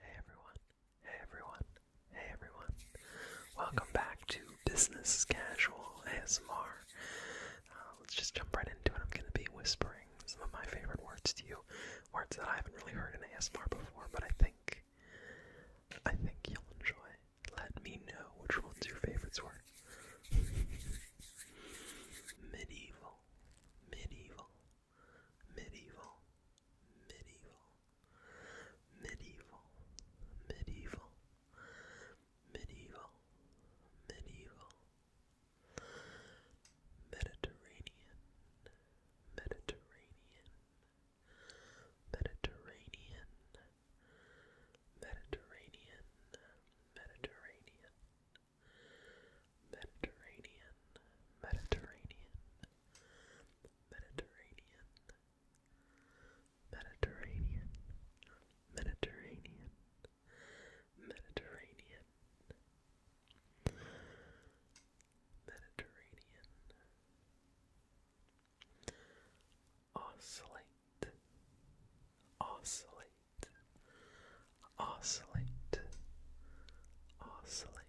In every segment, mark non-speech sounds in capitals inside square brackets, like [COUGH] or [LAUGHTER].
Hey everyone, hey everyone, hey everyone. Welcome back to Business Casual ASMR. Uh, let's just jump right into it. I'm going to be whispering some of my favorite words to you, words that I haven't really heard in ASMR before, but I think I think you'll enjoy. Let me know which ones your favorites [LAUGHS] were. medieval, medieval, medieval, medieval, medieval, medieval, medieval, medieval, Mediterranean, Mediterranean, Mediterranean, Mediterranean, Mediterranean. Mediterranean, Mediterranean, Mediterranean, Mediterranean, Mediterranean, Mediterranean, oscillate, oscillate. Oscillate, oscillate,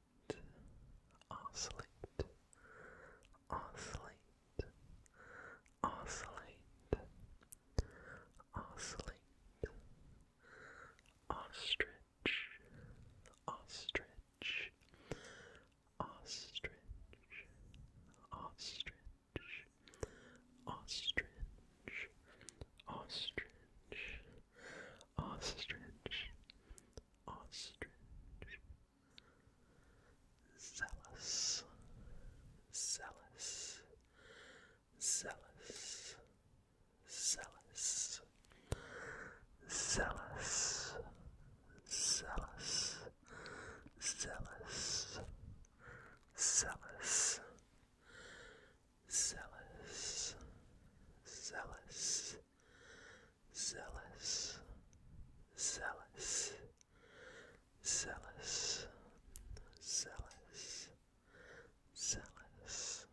oscillate, oscillate, oscillate, oscillate, ostrich, ostrich, ostrich, ostrich, ostrich, ostrich. Ostrich, ostrich, ostrich, zealous, zealous, zealous, zealous, zealous, zealous, zealous, zealous. Zealous, zealous, zealous, zealous, zealous, zealous, zealous.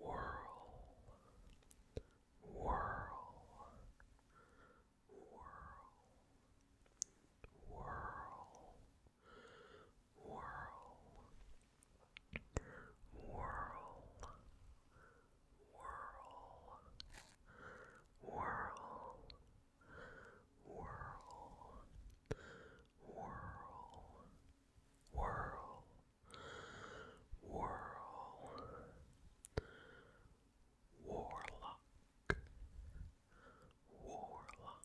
Whirl, whirl, whirl, whirl, Whirl, whirl, whirl, whirl, whirl, whirl, whirl, whirl, warlock, warlock. Warlock,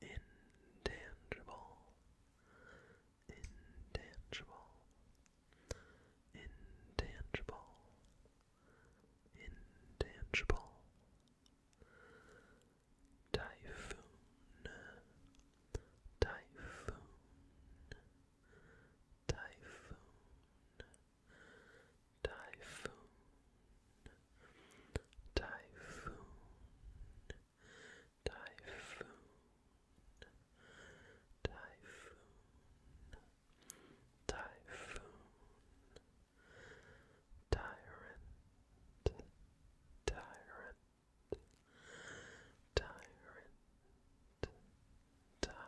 intangible, intangible, intangible, intangible. Typhoon, typhoon, typhoon, typhoon, Typhoon, Typhoon, Typhoon, Typhoon, Tyrant, Tyrant, Tyrant, Tyrant, Tyrant,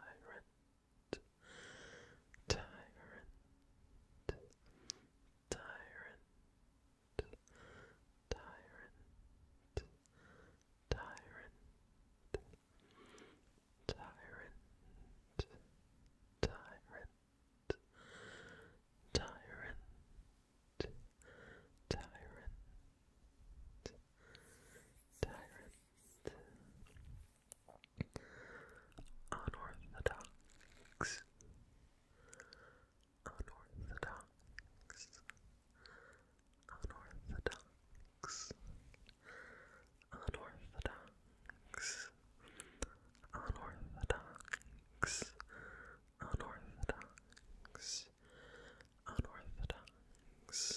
tyrant, tyrant, tyrant, tyrant, tyrant, tyrant, tyrant, tyrant, unorthodox unorthodox, unorthodox, unorthodox, unorthodox, unorthodox, unorthodox, unorthodox,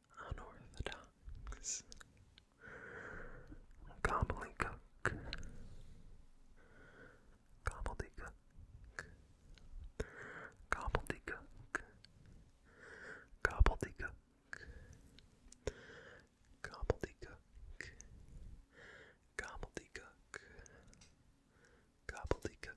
unorthodox, gobbledygook, gobbledygook, gobbledygook, gobbledygook, gobbledygook, gobbledygook, gobbledygook. Gobbledygook,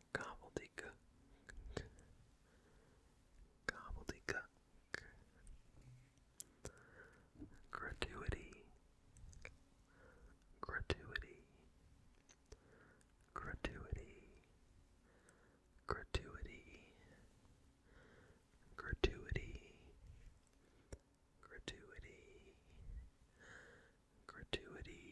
Gobbledygook. Gobbledygook. Gratuity. Gratuity. Gratuity. Gratuity. Gratuity. Gratuity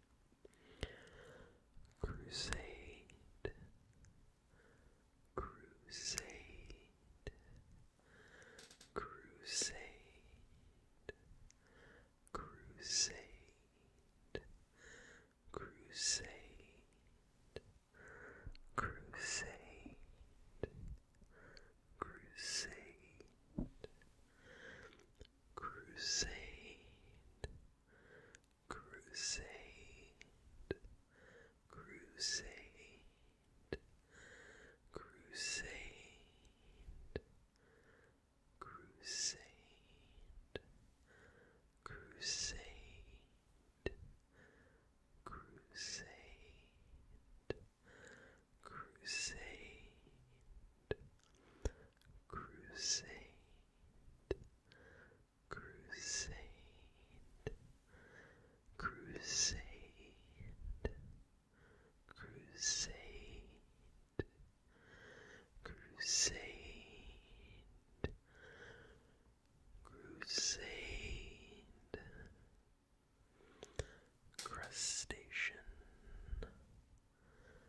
Crusade, Crusade, Crusade, Crusade, Crusade, Crusade, Crusade. Crusade, Crusade, crusade, crusade, crusade, crusade, crusade, crusade, crusade crusade, crusade, crusade, crusade, crusade, crustacean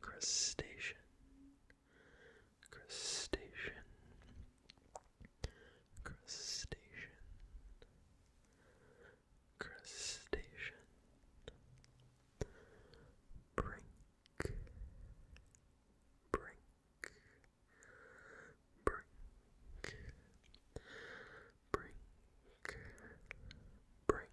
crustacean, crustacean, crustacean, crustacean, brink, brink, brink, brink, brink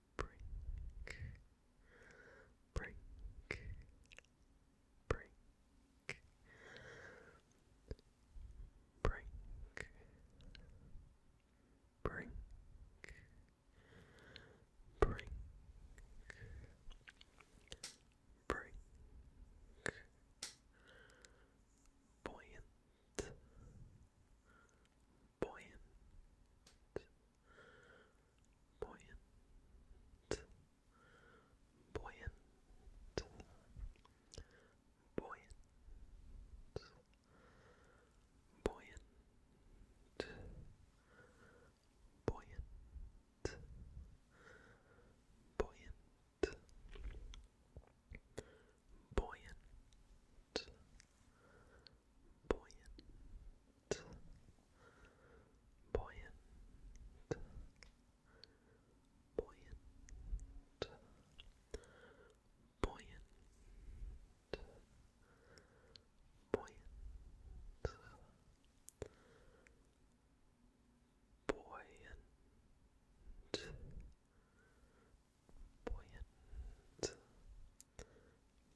brink, brink, brink, brink, brink, brink. Brink, buoyant, buoyant, buoyant, buoyant, buoyant, buoyant, buoyant, buoyant. Buoyant, buoyant, buoyant, buoyant, buoyant, buoyant, buoyant. Buoyant,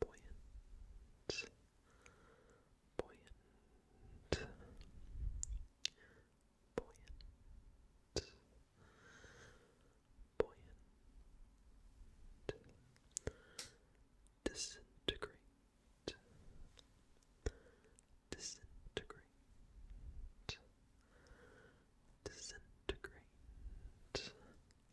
buoyant, buoyant, buoyant, buoyant, disintegrate, disintegrate, disintegrate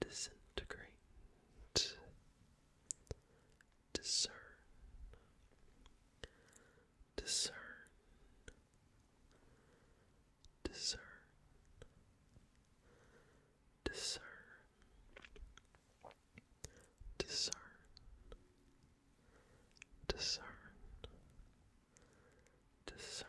disintegrate, discern, discern, discern, discern, discern, discern, discern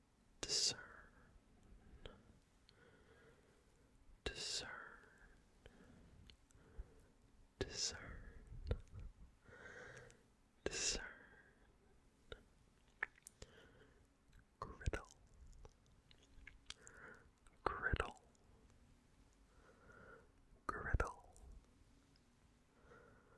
discern, discern, discern, discern, griddle, griddle, griddle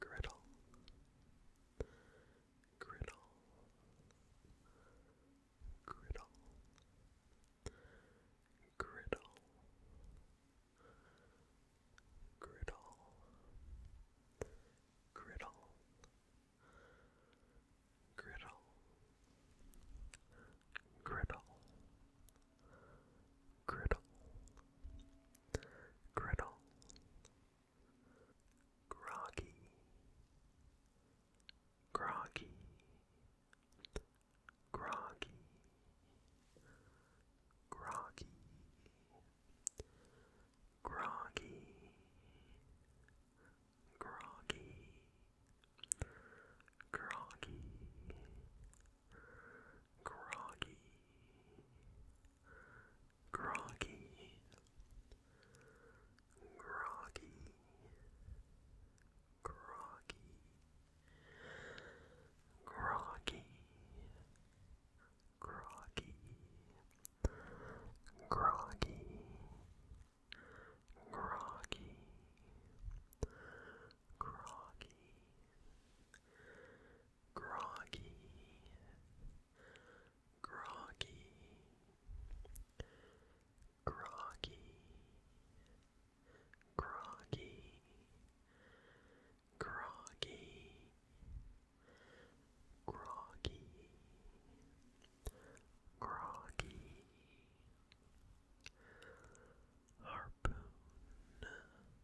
Griddle, griddle, griddle, griddle, griddle, griddle, griddle, griddle, griddle, griddle, groggy, groggy, groggy, groggy, groggy, groggy, groggy, groggy, groggy, groggy, groggy, groggy, groggy, groggy. Groggy, groggy, groggy, groggy, groggy, groggy, groggy, groggy. Harpoon,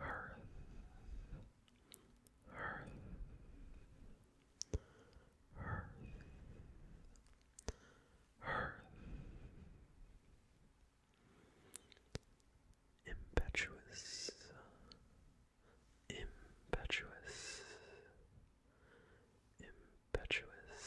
Earth, Earth, Earth, Earth. Impetuous, impetuous, impetuous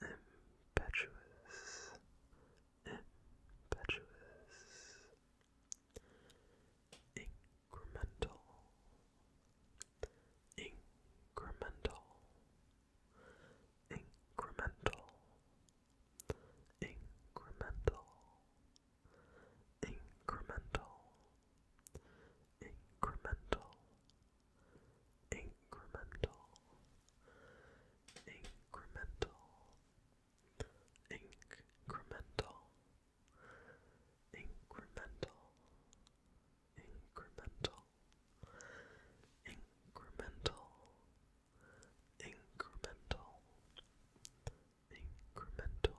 impetuous, impetuous, incremental, incremental, incremental, incremental, incremental, incremental incremental, incremental, incremental, incremental, incremental, incremental, incremental, incremental.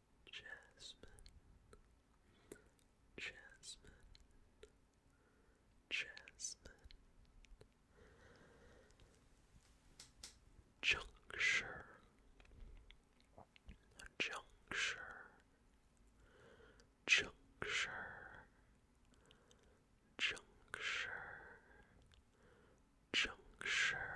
Jasmine, Jasmine, Jasmine. Juncture, juncture, juncture, juncture, juncture.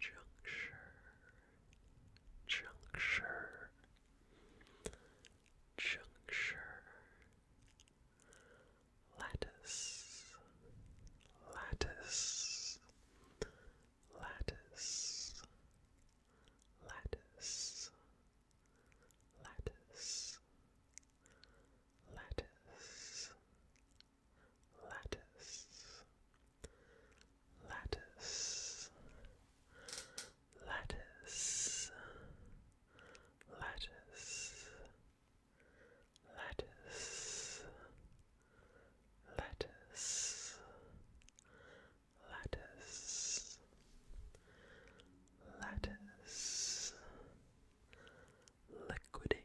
juncture, juncture, juncture, lattice, lattice, lattice, lattice, lattice, lattice lattice, lattice, lattice, lattice, lattice, lattice, lattice, liquidate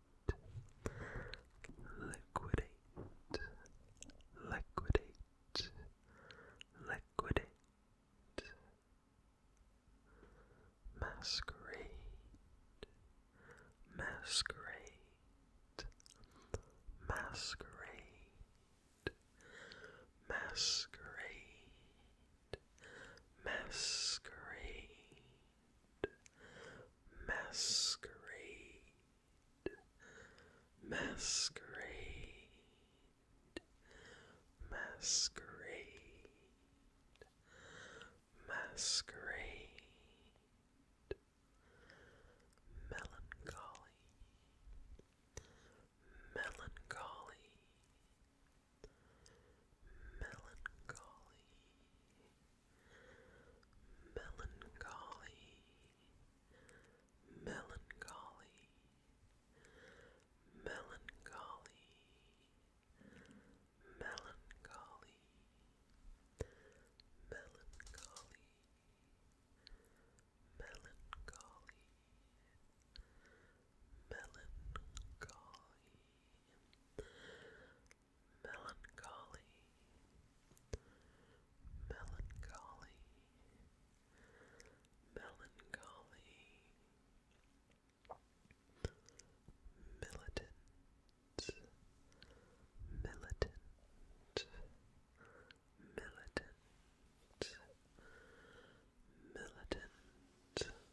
liquidate, liquidate, liquidate, masquerade, masquerade, masquerade, masquerade. Masquerade, masquerade, masquerade, masquerade, masquerade, melancholy, melancholy melancholy, melancholy, melancholy, melancholy, melancholy, melancholy. Melancholy, melancholy, melancholy, melancholy, melancholy, militant, militant, militant, militant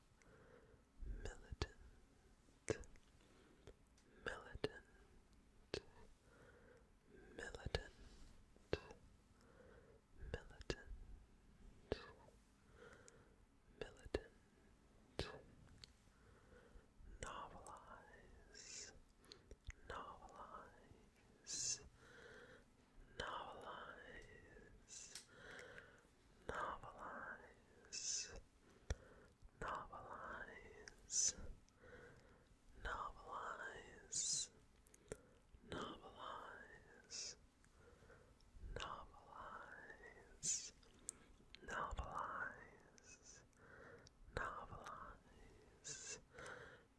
militant, militant, militant, militant, militant, novelize, novelize. Novelize, novelize, novelize, novelize, novelize, novelize, novelize, novelize, novelize,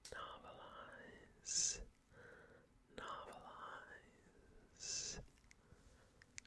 novelize.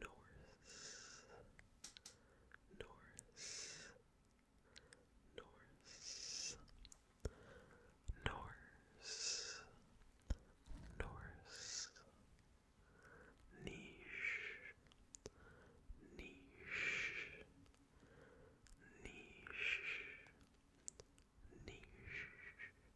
Norse, Norse, Norse, Norse, Norse, Niche, Niche, Niche, Niche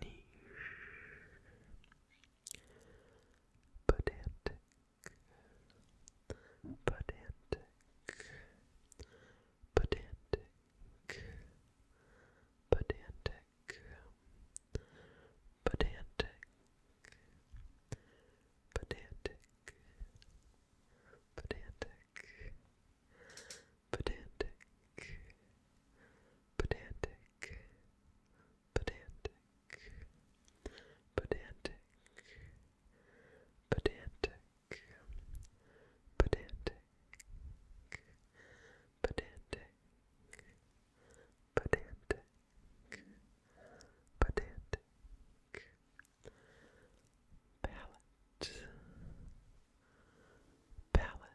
niche, pedantic, pedantic, pedantic, pedantic, pedantic, pedantic, pedantic, pedantic, pedantic, pedantic, pedantic, pedantic, pedantic, pedantic, pedantic, pedantic. Palette, palette,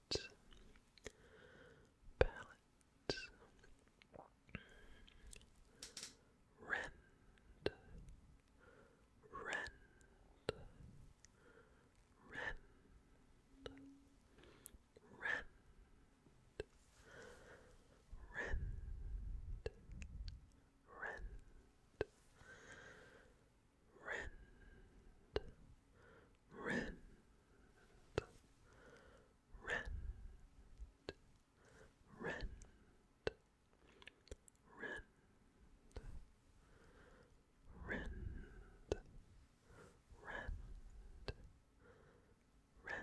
palette, rend, rend, rend, rend. Rend, rend, rend, rend, rend, rend, rend, rend, rend, rend. Rend,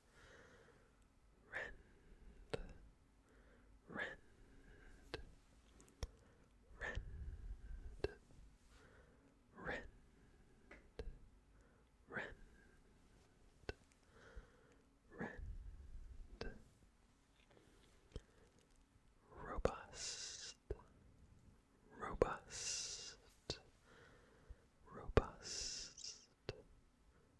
Rent. rend, rend, rend, rend, rend, robust, robust, robust,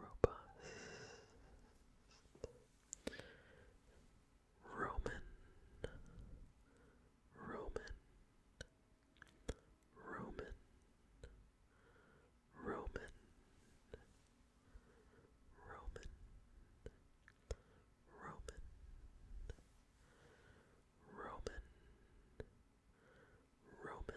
robust Roman Roman Roman Roman Roman Roman Roman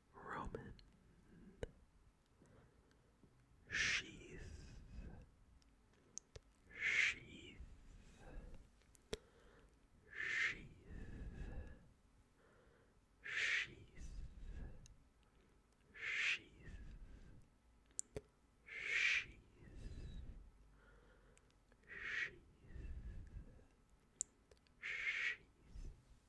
Roman sheath, sheath, sheath, sheath, sheath, sheath, sheath. Sheath,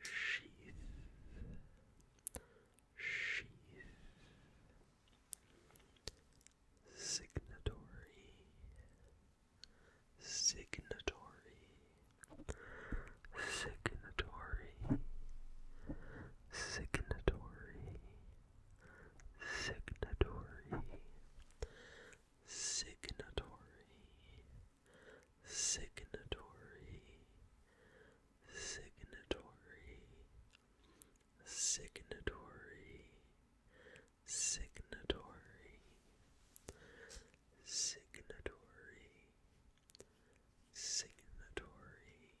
sheath, sheath, signatory, signatory, signatory, signatory, signatory, signatory signatory, signatory, signatory, signatory, signatory, signatory, signatory,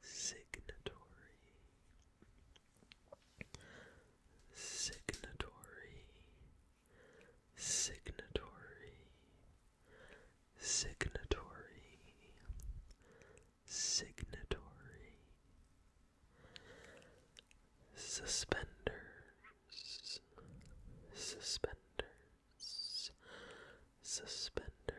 signatory signatory, signatory, signatory, signatory, suspenders, suspenders, suspenders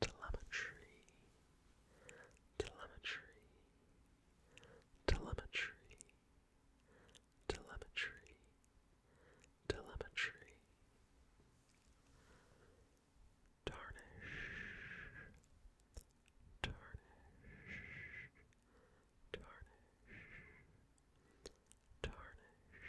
telemetry, telemetry, telemetry, telemetry, telemetry, tarnish, tarnish, tarnish, tarnish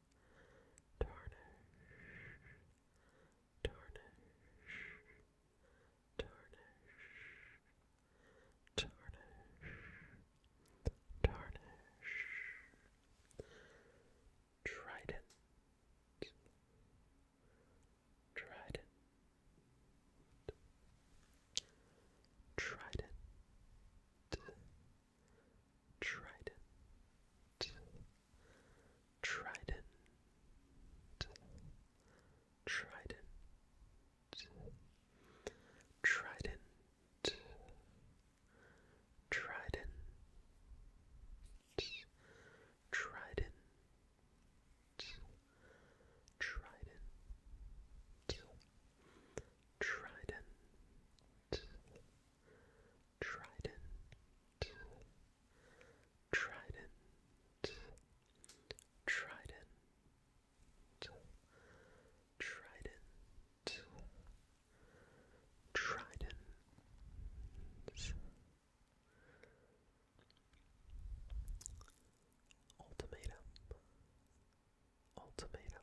tarnish, tarnish, tarnish, tarnish, tarnish, trident, trident. Trident, trident, Trident, Trident, Trident, Trident, Trident. Trident, Trident, Trident, Trident, Trident, Trident, Trident. Ultimatum, ultimatum,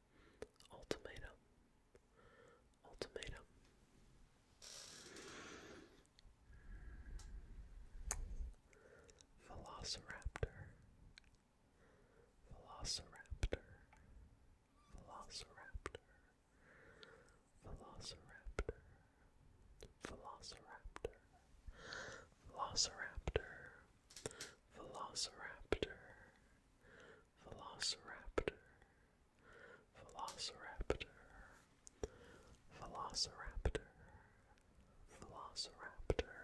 Ultimatum. Ultimatum. Velociraptor. Velociraptor. Velociraptor. Velociraptor. Velociraptor. Velociraptor. Velociraptor. Velociraptor, Velociraptor, Velociraptor, Velociraptor, Velociraptor, Velociraptor,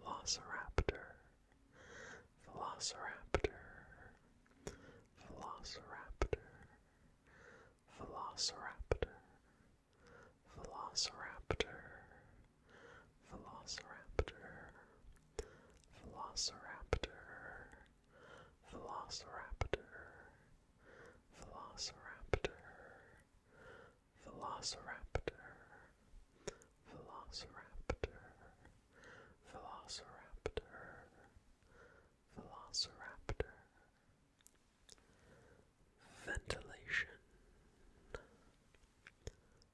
Velociraptor, Velociraptor, Velociraptor, Velociraptor. Velociraptor, Velociraptor, Velociraptor, Velociraptor, Velociraptor, Velociraptor, Velociraptor, Velociraptor. Ventilation,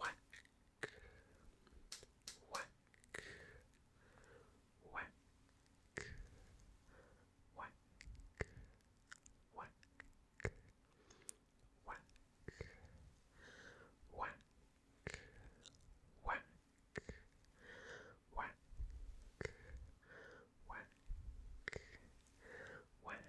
whack, whack, whack, whack, whack, whack, whack, whack, whack, whack, whack, whack,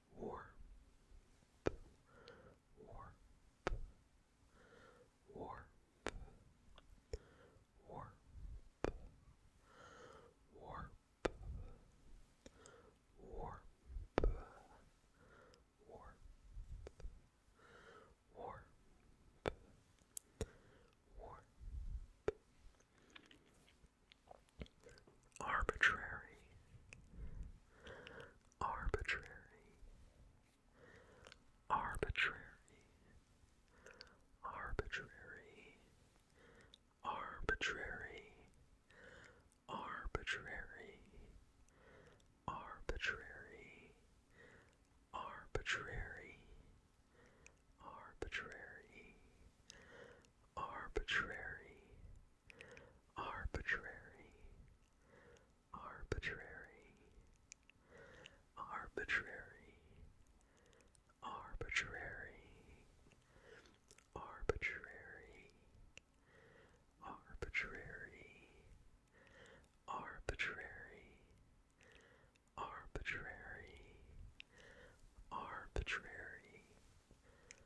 warp, warp, warp, warp, warp, warp, warp, warp, warp, arbitrary, arbitrary, arbitrary, arbitrary, arbitrary, arbitrary, arbitrary, arbitrary, arbitrary, arbitrary, arbitrary, arbitrary, arbitrary, arbitrary, arbitrary, arbitrary, arbitrary, arbitrary,